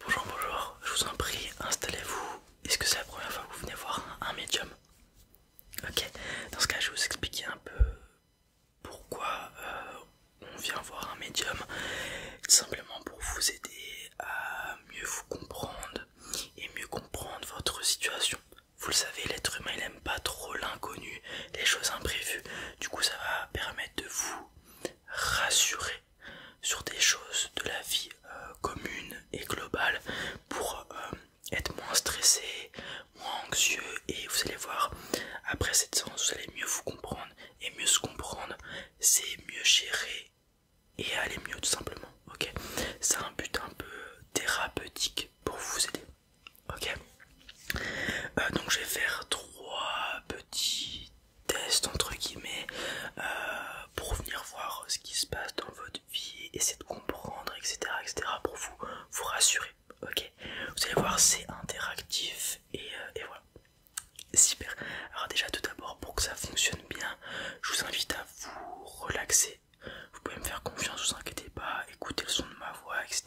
Bonjour, bonjour, je vous en prie, installez-vous. Est-ce que c'est la première fois que vous venez voir un médium Ok, dans ce cas, je vais vous expliquer un peu pourquoi euh, on vient voir un médium. Simplement pour vous aider à mieux vous comprendre et mieux comprendre votre situation. Vous le savez, l'être humain il aime pas trop l'inconnu, les choses imprévues. Du coup, ça va permettre de vous rassurer sur des choses de la vie euh, commune et globale pour euh, être moins stressé, moins anxieux et vous allez voir, après cette séance, vous allez mieux vous comprendre et mieux se comprendre, c'est mieux gérer et aller mieux tout simplement. Ok, c'est un but un peu thérapeutique pour vous aider. Ok, euh, donc je vais faire trois petits test entre guillemets euh, pour venir voir ce qui se passe dans votre vie, essayer de comprendre, etc. etc. pour vous, vous rassurer. Ok Vous allez voir, c'est interactif euh, et, voilà. Super. Alors déjà tout d'abord pour que ça fonctionne bien, je vous invite à vous relaxer. Vous pouvez me faire confiance, vous inquiétez pas, écoutez le son de ma voix, etc.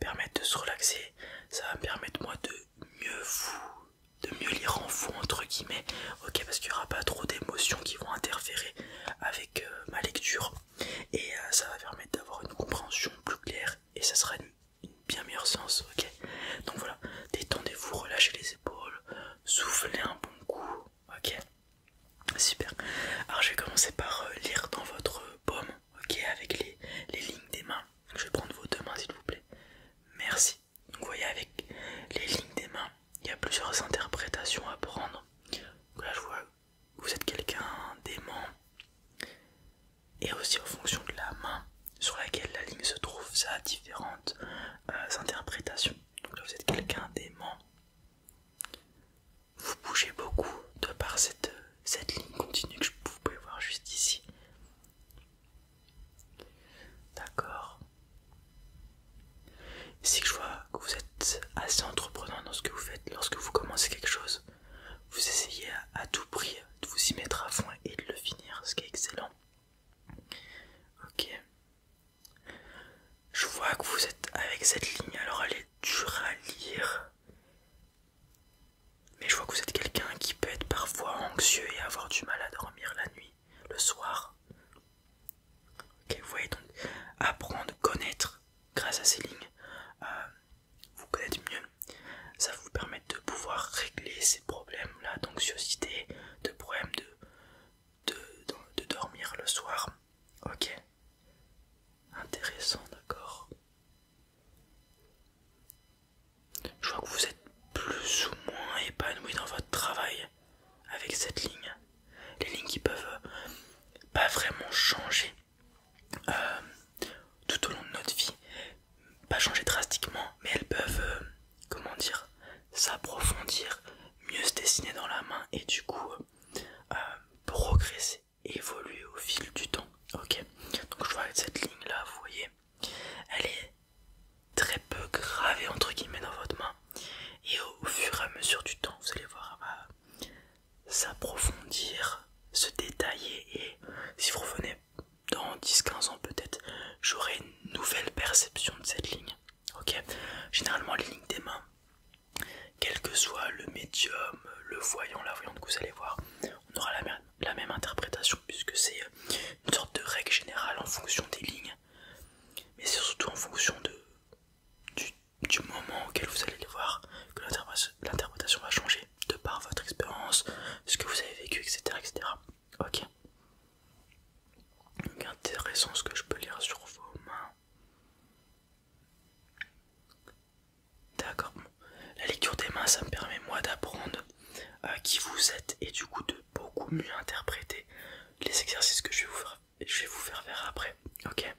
Permettre de se relaxer, ça va permettre moi de mieux vous de mieux lire en fond entre guillemets ok parce qu'il n'y aura pas trop d'émotions qui vont interférer avec euh, ma lecture et euh, ça va permettre d'avoir une compréhension plus claire et ça sera une, bien meilleure sens, ok donc voilà détendez-vous relâchez les épaules soufflez un bon coup ok super alors je vais commencer par euh, lire dans votre paume ok avec les, les lignes des mains je vais prendre vos deux mains s'il vous plaît merci donc vous voyez avec les lignes des mains, il y a plusieurs interprétations à prendre. là je vois que vous êtes quelqu'un d'aimant. Et aussi en fonction de la main sur laquelle la ligne se trouve, ça a différentes euh, interprétations. Donc là vous êtes quelqu'un d'aimant. Vous bougez beaucoup de par cette, cette ligne continue que vous pouvez voir juste ici. D'accord. Si je vois que vous êtes assez entreprenant dans ce que vous faites, lorsque vous commencez quelque chose, vous essayez à, tout prix de vous y mettre à fond et de le finir, ce qui est excellent. Ok. Je vois que vous êtes avec cette ligne, alors elle est dure à lire. Mais je vois que vous êtes quelqu'un qui peut être parfois anxieux et avoir du mal à dormir la nuit, le soir. Ok, vous voyez donc apprendre, connaître grâce à ces lignes, euh, vous connaître mieux, ça vous permet de pouvoir régler ces problèmes-là d'anxiosité, de problèmes de, de, de dormir le soir. Ok, intéressant, d'accord. Je vois que vous êtes plus ou moins épanoui dans votre travail avec cette ligne. Les lignes qui peuvent euh, pas vraiment changer euh, tout au long de notre vie. Pas changer drastiquement, mais elles peuvent, euh, comment dire, s'approfondir, mieux se dessiner dans la main et du coup progresser, évoluer au fil du temps. Ok, donc je vois avec cette ligne là, vous voyez, elle est très peu gravée entre guillemets dans votre main. Et au fur et à mesure du temps, vous allez voir, s'approfondir, se détailler. Et si vous revenez dans 10-15 ans peut-être, j'aurai une nouvelle perception de cette ligne. Ok Généralement, les lignes des mains, quel que soit le médium, le voyant, la voyante que vous allez voir, on aura la la même interprétation puisque c'est euh, une sorte de règle générale en fonction des lignes, mais c'est surtout en fonction de, du, moment auquel vous allez les voir que l'interprétation va changer de par votre expérience, ce que vous avez vécu, etc. etc. Ok. Donc intéressant ce que je peux lire sur vos mains. D'accord, la lecture des mains, ça me permet moi d'apprendre euh, qui vous êtes et du coup de beaucoup mieux interpréter les exercices que je vais vous faire, je vous faire après. Ok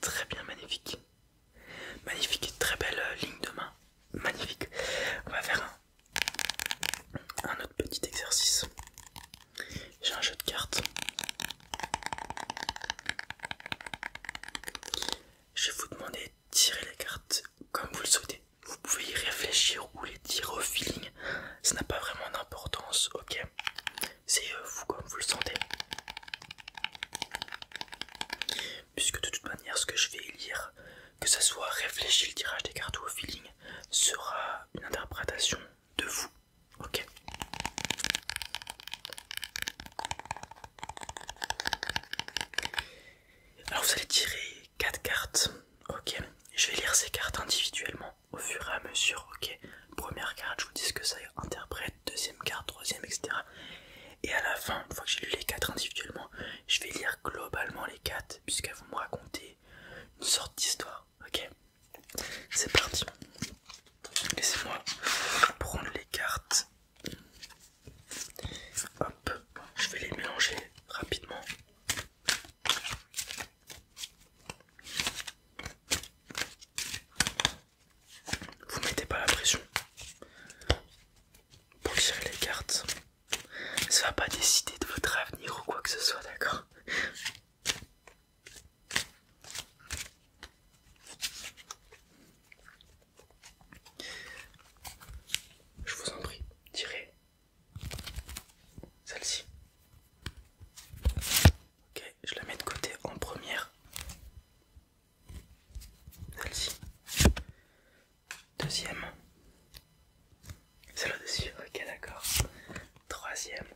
Très bien, magnifique. Magnifique, très belle euh, ligne de main. Magnifique. On va faire un, un autre petit exercice. J'ai un jeu de cartes. Je vais vous demander de tirer les cartes comme vous le souhaitez. Vous pouvez y réfléchir ou les tirer au feeling. Ça n'a pas vraiment d'importance, ok C'est euh, vous comme vous le sentez. Puisque de toute manière, ce que je vais lire, que ce soit réfléchir le tirage des cartes ou au feeling, sera une interprétation de vous, ok alors vous allez tirer 4 cartes, ok Je vais lire ces cartes individuellement au fur et à mesure, ok Première carte, je vous dis ce que ça interprète, deuxième carte, troisième, etc. Et à la fin, une fois que j'ai lu les 4 individuellement, je vais lire globalement les 4 puisqu'elles vont me raconter une sorte d'histoire, ok C'est parti Laissez-moi prendre les cartes Hop, je vais les mélanger rapidement. Vous mettez pas la pression pour tirer les cartes. Ça va pas décider de votre avenir ou quoi que ce soit, d'accord je vous en prie, tirez celle-ci. Ok, je la mets de côté en première. Celle-ci. Deuxième. Celle au-dessus. Ok, d'accord. Troisième.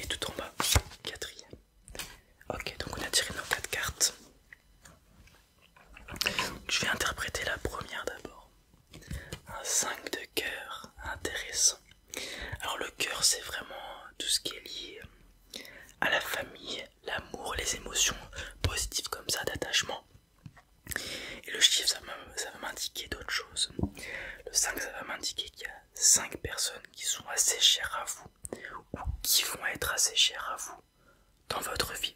Et tout en bas, quatrième. Ok, donc on a tiré nos quatre cartes. Je vais interpréter la première d'abord. Un 5 de cœur, intéressant. Alors le cœur c'est vraiment tout ce qui est lié à la famille, l'amour, les émotions positives comme ça, d'attachement. Et le chiffre ça va m'indiquer d'autres choses. Le 5 ça va m'indiquer qu'il y a 5 personnes qui sont assez chères à vous ou qui vont être assez chers à vous dans votre vie.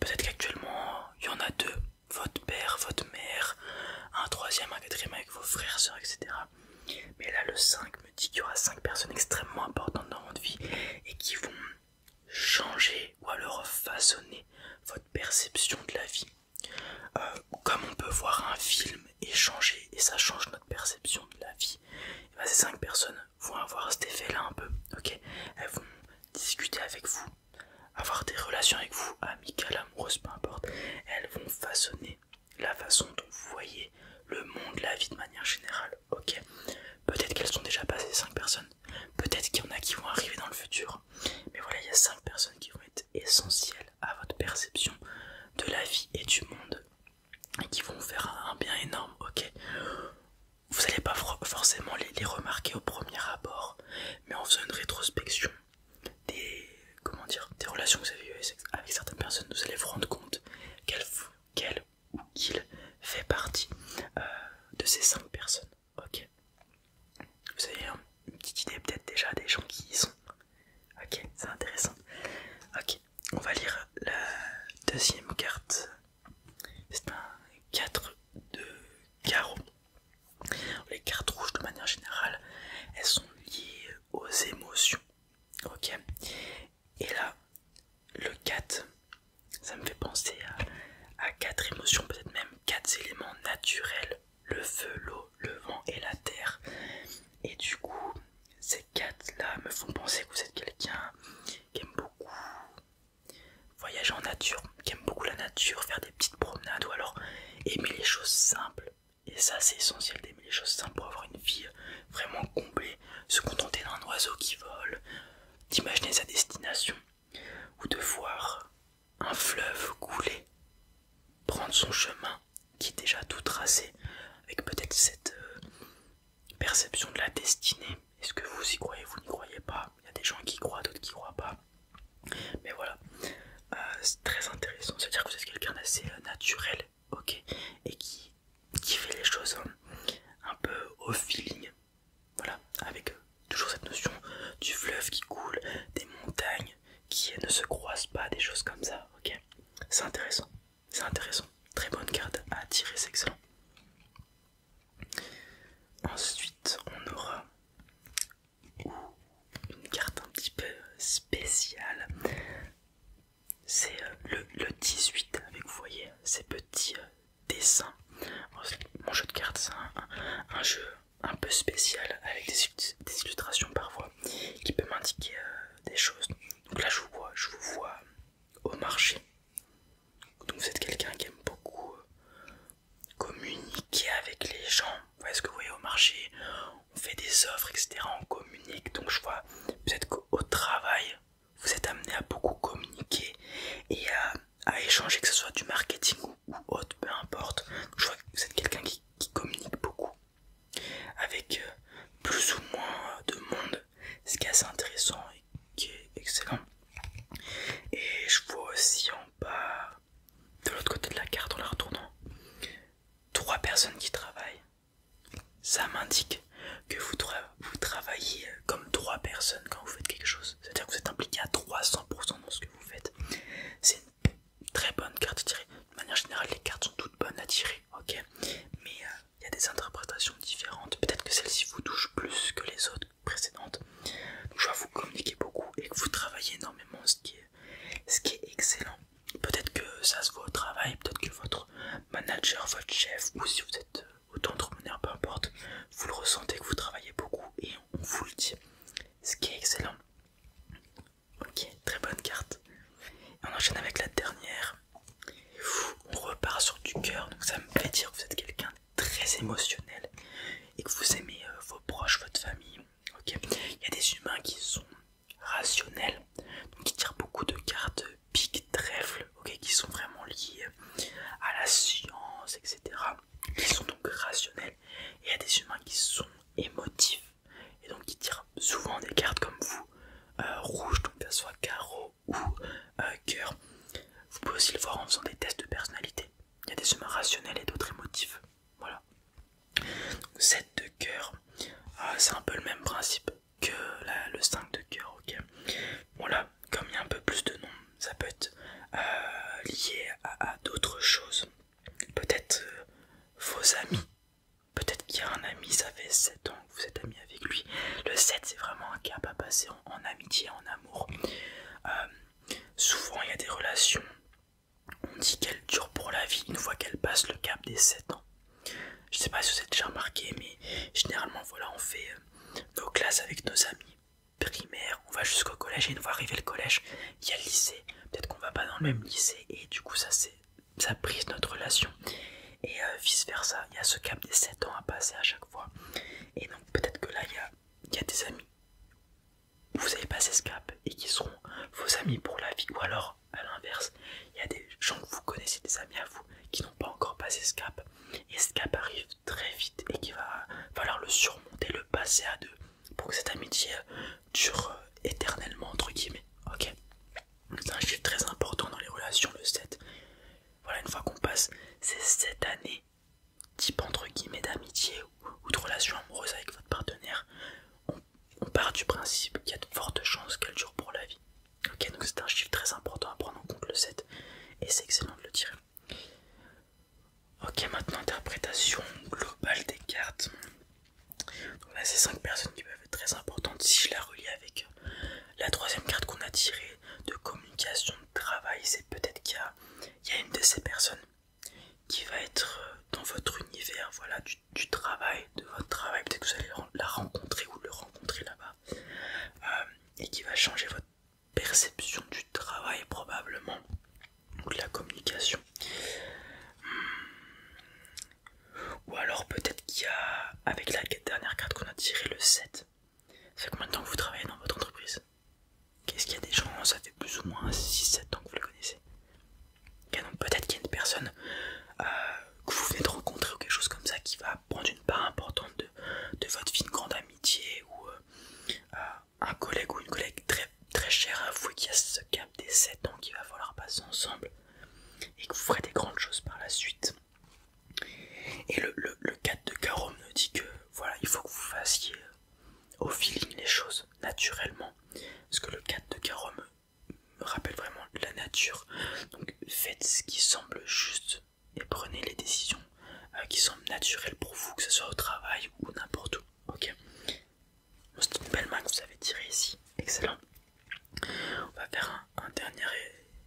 Peut-être qu'actuellement il y en a deux, votre père, votre mère, un troisième, un quatrième avec vos frères, sœurs, etc. Mais là le 5 me dit qu'il y aura 5 personnes extrêmement importantes dans votre vie et qui vont changer ou alors façonner votre perception de la vie. Euh, comme on peut voir un film et et ça change notre perception de la vie, ben, ces cinq personnes vont avoir cet effet-là un peu, ok Elles vont discuter avec vous, avoir des relations avec vous, amicales, amoureuses, peu importe. Elles vont façonner la façon dont vous voyez le monde, la vie de manière générale, ok Peut-être qu'elles sont déjà passées cinq personnes, peut-être qu'il y en a qui vont arriver dans le futur, mais voilà, il y a cinq personnes qui vont être essentielles à votre perception de la vie et du monde et qui vont vous faire un bien énorme, ok Vous n'allez pas forcément les, remarquer au premier abord, mais en faisant une rétrospection des, comment dire, des relations que vous avez eues avec, certaines personnes, vous allez vous rendre compte qu'elle ou qu'il fait partie euh, de ces cinq personnes, ok Vous avez une petite idée peut-être déjà des gens qui y sont, ok C'est intéressant, ok on va lire la deuxième carte. C'est un 4 de carreau. Les cartes rouges, de manière générale, elles sont liées aux émotions. Ok Et là, le 4, ça me fait penser à, à quatre émotions, peut-être même quatre éléments naturels le feu, l'eau, le vent et la terre. Et du coup, ces quatre-là me font penser que vous êtes quelqu'un qui aime beaucoup voyager en nature, qui aime beaucoup la nature, faire des petites promenades ou alors aimer les choses simples. Et ça, c'est essentiel d'aimer les choses simples pour avoir une vie vraiment comblée, se contenter d'un oiseau qui vole, d'imaginer sa destination ou de voir un fleuve couler, prendre son chemin qui est déjà tout tracé, avec peut-être cette euh, perception de la destinée. Est-ce que vous y croyez, vous n'y croyez pas Il y a des gens qui croient, d'autres qui croient pas. Mais voilà, euh, c'est très intéressant. C'est-à-dire que vous êtes quelqu'un d'assez euh, naturel, ok, et qui, qui fait les choses un, hein, un peu au feeling. Voilà, avec toujours cette notion du fleuve qui coule, des montagnes qui ne se croisent pas, des choses comme ça, ok C'est intéressant. C'est intéressant. Très bonne carte à tirer, c'est excellent. Ensuite, on aura une carte un petit peu spéciale. C'est euh, le, 18 avec, vous voyez, ces petits euh, dessins. Mon jeu de cartes, c'est un, jeu un peu spécial avec des, illustrations parfois qui peut m'indiquer euh, des choses. Donc là, je vous vois, je vous vois au marché. Donc vous êtes quelqu'un qui aime beaucoup euh, communiquer avec les gens. Vous ce que vous voyez au marché On fait des offres, etc. On communique. Donc je vois peut-être qu'au travail, vous êtes amené à beaucoup communiquer et à, échanger, que ce soit du marketing ou, autre, peu importe. je vois que vous êtes quelqu'un qui communique beaucoup avec euh, plus ou moins euh, de monde, ce qui est assez intéressant et qui est excellent. Et je vois aussi en bas, de l'autre côté de la carte en la retournant, trois personnes qui travaillent. Ça m'indique que vous, travaillez euh, comme trois personnes quand vous faites quelque chose. C'est-à-dire que vous êtes impliqué à 300% dans ce que vous faites. C'est une très bonne carte à tirer. De manière générale, les cartes sont toutes bonnes à tirer ok mais il euh, y a des interprétations différentes peut-être que celle-ci vous touche plus que les autres précédentes je vois vous communiquez beaucoup et que vous travaillez énormément ce qui est ce qui est excellent peut-être que ça se voit au travail peut-être que votre manager votre chef ou si vous êtes euh, auto-entrepreneur peu importe vous le ressentez que vous travaillez beaucoup et on vous le dit ce qui est excellent Ok, très bonne carte. on enchaîne avec la dernière. On repart sur du cœur, donc ça me fait dire que vous êtes quelqu'un très émotionnel et que vous aimez euh, vos proches, votre famille. il y a des humains qui sont rationnels, donc qui tirent beaucoup de cartes big euh, trèfle, qui sont vraiment liées euh, à la science, etc. ils sont donc rationnels. Et il y a des humains qui sont émotifs, et donc qui tire souvent des cartes comme vous, euh, rouge, donc que ce soit carreau ou coeur cœur. Vous pouvez aussi le voir en faisant des tests de personnalité. Il y a des semaines rationnels et d'autres émotifs. Voilà. 7 de cœur, ah, c'est un peu le même principe que le 5 de cœur. ok Voilà. comme il y a un peu plus de noms, ça peut être euh, lié à, d'autres choses. Peut-être euh, vos amis, Peut-être qu'il y a un ami, ça fait 7 ans que vous êtes ami avec lui. Le 7, c'est vraiment un cap à passer en, amitié, en amour. Euh, souvent, il y a des relations, on dit qu'elles durent pour la vie une fois qu'elles passent le cap des 7 ans. Je sais pas si vous avez déjà remarqué, mais généralement, voilà, on fait euh, nos classes avec nos amis primaires, on va jusqu'au collège, et une fois arrivé le collège, il y a le lycée. Peut-être qu'on va pas dans le même lycée, et du coup, ça c'est ça brise notre relation et euh, vice versa il y a ce cap des 7 ans à passer à chaque fois et donc peut-être que là il y a, il y a des amis vous avez passé ce cap et qui seront vos amis pour la vie ou alors à l'inverse il y a des gens que vous connaissez des amis à vous qui n'ont pas encore passé ce cap et ce cap arrive très vite et qui va falloir le surmonter le passer à deux pour que cette amitié euh, dure éternellement entre guillemets. Ok, c'est un chiffre très important dans les relations, le 7. Voilà, une fois qu'on passe ces 7 années, type entre guillemets d'amitié ou, de relation amoureuse avec votre partenaire, on, part du principe qu'il y a de fortes chances qu'elle dure pour la vie. Ok, donc c'est un chiffre très important à prendre en compte, le 7, et c'est excellent de le tirer. Ok, maintenant interprétation globale des cartes. Donc a ces cinq personnes qui peuvent être très importantes si je la relie avec euh, la troisième carte qu'on a tirée de communication, de travail. C'est peut-être qu'il y, a une de ces personnes qui va être euh, dans votre univers, voilà, du, travail, de votre travail. Peut-être que vous allez la rencontrer ou le rencontrer là-bas euh, et qui va changer votre perception du travail probablement ou de la communication. Ou alors peut-être qu'il y a, avec la dernière carte qu'on a tirée, le 7. Ça fait combien de temps que vous travaillez dans votre entreprise Qu'est-ce qu'il y a des gens, ça fait plus ou moins 6-7 ans que vous les connaissez. Donc peut-être qu'il y a une personne euh, que vous venez de rencontrer ou quelque chose comme ça qui va prendre une part importante de, votre vie, une grande amitié ou euh, euh, un collègue ou une collègue très, très chère à vous et qui a ce cap des 7 ans qu'il va falloir passer ensemble et que vous ferez des grandes choses par la suite. Et le, 4 de Carom nous dit que voilà, il faut que vous fassiez au feeling les choses naturellement. Parce que le 4 de Carom me rappelle vraiment la nature. Donc faites ce qui semble juste et prenez les décisions euh, qui semblent naturelles pour vous, que ce soit au travail ou n'importe où. C'est une belle main que vous avez tirée ici. Excellent. On va faire un, dernier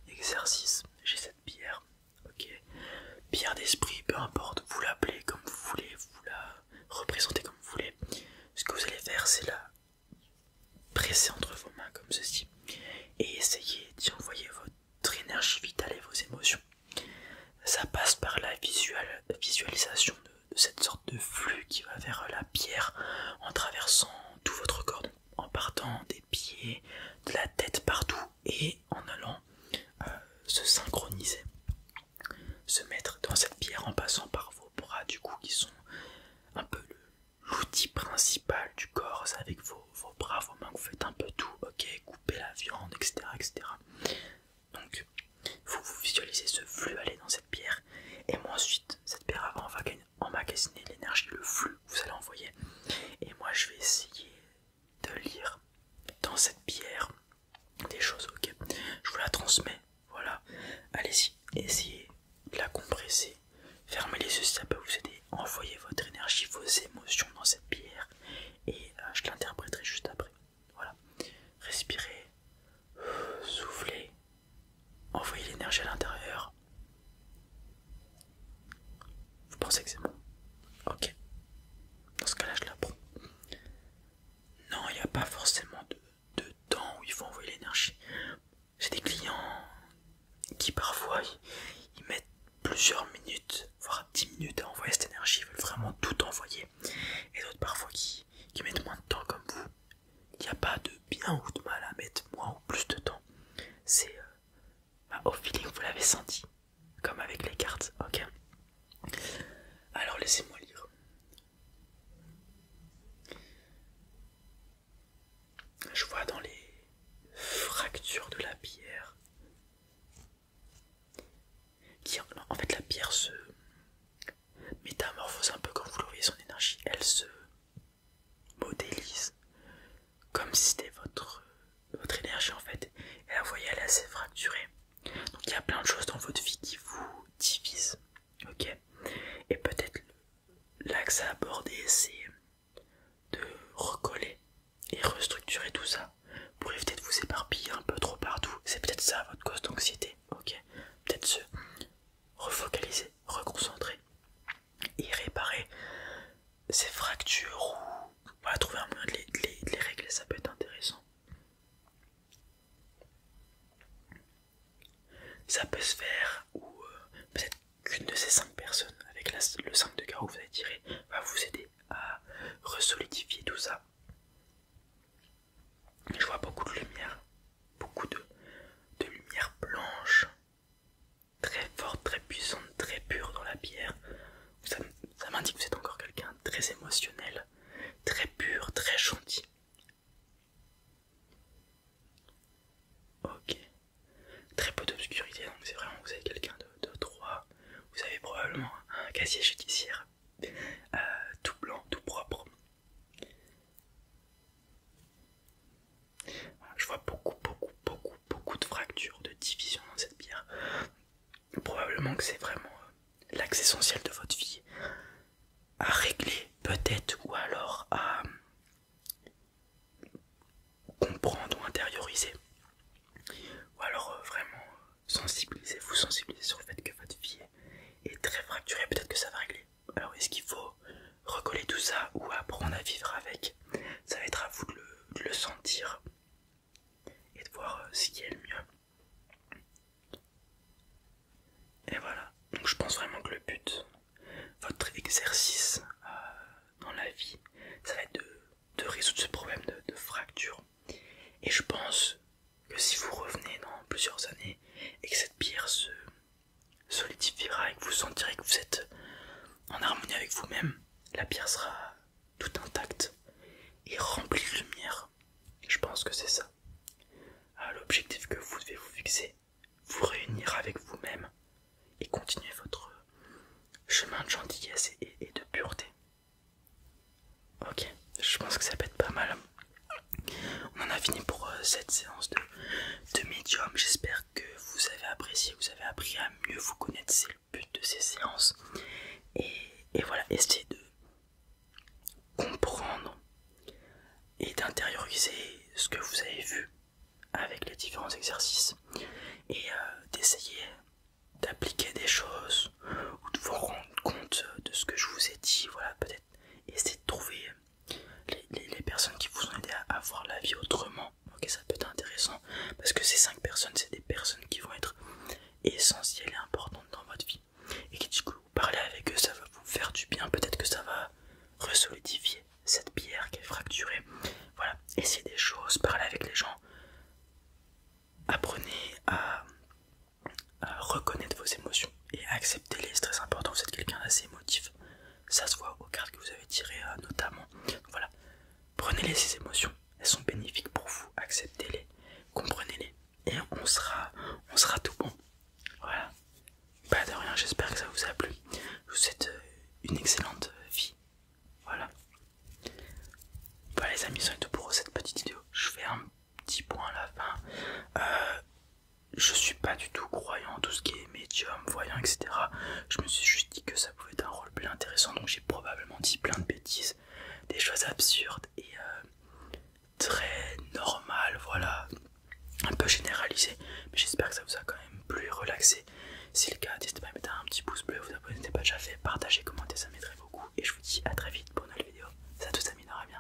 exercice. J'ai cette pierre. Ok. Pierre d'esprit, peu importe. Vous l'appelez comme vous voulez. Vous la représentez comme vous voulez. Ce que vous allez faire, c'est la presser entre vos mains comme ceci. Et essayer d'y envoyer votre énergie vitale et vos émotions. Ça passe par la visualisation de, cette sorte de flux qui va vers la pierre en traversant tout votre corps, en partant des pieds, de la tête partout et en allant euh, se synchroniser, se mettre dans cette pierre en passant par vos bras du coup qui sont un peu l'outil principal du corps avec vos, bras, vos mains, vous faites un peu tout, ok, couper la viande, etc. etc. Donc vous visualisez ce flux aller dans cette pierre et moi ensuite cette pierre avant va emmagasiner l'énergie, le flux que vous allez envoyer. Et moi je vais essayer de lire dans cette pierre des choses, ok Je vous la transmets, voilà. Allez-y, essayez de la compresser. Fermez les yeux si ça peut vous aider. Envoyez votre énergie, vos émotions dans cette pierre. Et euh, je l'interpréterai juste après. Voilà. Respirez, soufflez, Envoyer l'énergie à l'intérieur. Vous pensez que c'est bon Ok. Dans ce cas-là, je l'apprends. Non, il n'y a pas forcément de, temps où il faut envoyer l'énergie. C'est des clients qui parfois ils, mettent plusieurs minutes, voire 10 minutes à envoyer cette énergie, ils veulent vraiment tout envoyer. Et d'autres parfois qui qui, mettent moins de temps comme vous. Il n'y a pas de bien ou de mal à mettre moins ou plus de temps. C'est euh, bah, au feeling, vous l'avez senti, comme avec les cartes, ok Alors laissez-moi lire. Je vois dans les fractures de la pierre. en fait, la pierre se, métamorphose un peu comme vous le voyez, son énergie, elle se modélise comme si c'était votre, votre énergie en fait. Et vous voyez, elle est assez fracturée. Donc il y a plein de choses dans votre vie qui vous divisent, ok Et peut-être l'axe à aborder, c'est de recoller et restructurer tout ça pour éviter de vous éparpiller un peu trop partout. C'est peut-être ça votre cause d'anxiété, ok Peut-être ce refocaliser, reconcentrer et réparer ces fractures ou trouver un moyen de les, régler, ça peut être intéressant. Ça peut se faire ou euh, peut-être qu'une de ces cinq personnes avec le 5 de carreau que vous avez tiré va vous aider à resolidifier tout ça. Je vois beaucoup de lumière, beaucoup de, lumière blanche, très forte, très puissante, très pure dans la pierre. Ça, m'indique que vous êtes encore quelqu'un très émotionnel, très pur, très gentil. Ok, très peu d'obscurité, donc c'est vraiment vous êtes quelqu'un de, de droit. Vous avez probablement un casier judiciaire euh, tout blanc, tout propre, je vois beaucoup, beaucoup, beaucoup, beaucoup de fractures, de divisions dans cette pierre. Probablement que c'est vraiment euh, l'axe essentiel de votre vie à régler, peut-être, ou alors à euh, comprendre ou intérioriser. Ou alors euh, vraiment sensibiliser, vous sensibiliser sur le fait que votre vie est très fracturée, peut-être que ça va régler. Alors est-ce qu'il faut recoller tout ça ou apprendre à vivre avec Ça va être à vous de le, sentir et de voir euh, ce qui est le mieux. Et voilà, donc je pense vraiment que le but, votre exercice euh, dans la vie, ça va être de, résoudre ce problème de fracture. Et je pense que si vous revenez dans plusieurs années et que cette pierre se solidifiera et que vous sentirez que vous êtes en harmonie avec vous-même, la pierre sera toute intacte et remplie de lumière. Je pense que c'est ça. L'objectif que vous devez vous fixer, vous réunir avec vous-même et continuer votre chemin de gentillesse et de pureté. Ok, je pense que ça peut être pas mal. On en a fini pour euh, cette séance de, médium. J'espère que vous avez apprécié, vous avez appris à mieux vous connaître. C'est le but de ces séances. Et, voilà, essayez de comprendre et d'intérioriser ce que vous avez vu avec les différents exercices et euh, d'essayer d'appliquer des choses ou de vous rendre compte de ce que je vous ai dit. Voilà, peut-être essayer de trouver les, personnes qui vous ont aidé à, avoir voir la vie autrement. Ok, ça peut être intéressant parce que ces 5 personnes, c'est des personnes qui vont être essentielles et importantes dans votre vie. Et qui, du coup, parler avec eux, ça va vous faire du bien. Peut-être que ça va resolidifier cette pierre qui est fracturée. Voilà, essayez des choses, parlez avec les gens, apprenez à reconnaître vos émotions et accepter les c'est très important, vous êtes quelqu'un d'assez émotif, ça se voit aux cartes que vous avez tirées euh, notamment. voilà, prenez-les ces émotions, elles sont bénéfiques pour vous, acceptez-les, comprenez-les et on sera, on sera tout bon. Voilà, pas de rien, j'espère que ça vous a plu. Je vous souhaite euh, une excellente euh, vie. Voilà. les amis, c'est tout pour cette petite vidéo. Je fais un petit point à la fin. Euh, je suis pas du tout croyant tout ce qui est médium, voyant, etc. Je me suis juste dit que ça pouvait être un rôle plus intéressant, donc j'ai probablement dit plein de bêtises, des choses absurdes et euh, très normales, voilà, un peu généralisé Mais j'espère que ça vous a quand même plu, relaxé. Si le cas, n'hésitez pas à mettre un petit pouce bleu, vous abonner, pas déjà fait, partagez, commenter ça m'aiderait beaucoup. Et je vous dis à très vite pour une nouvelle vidéo. Ça tous minera bien.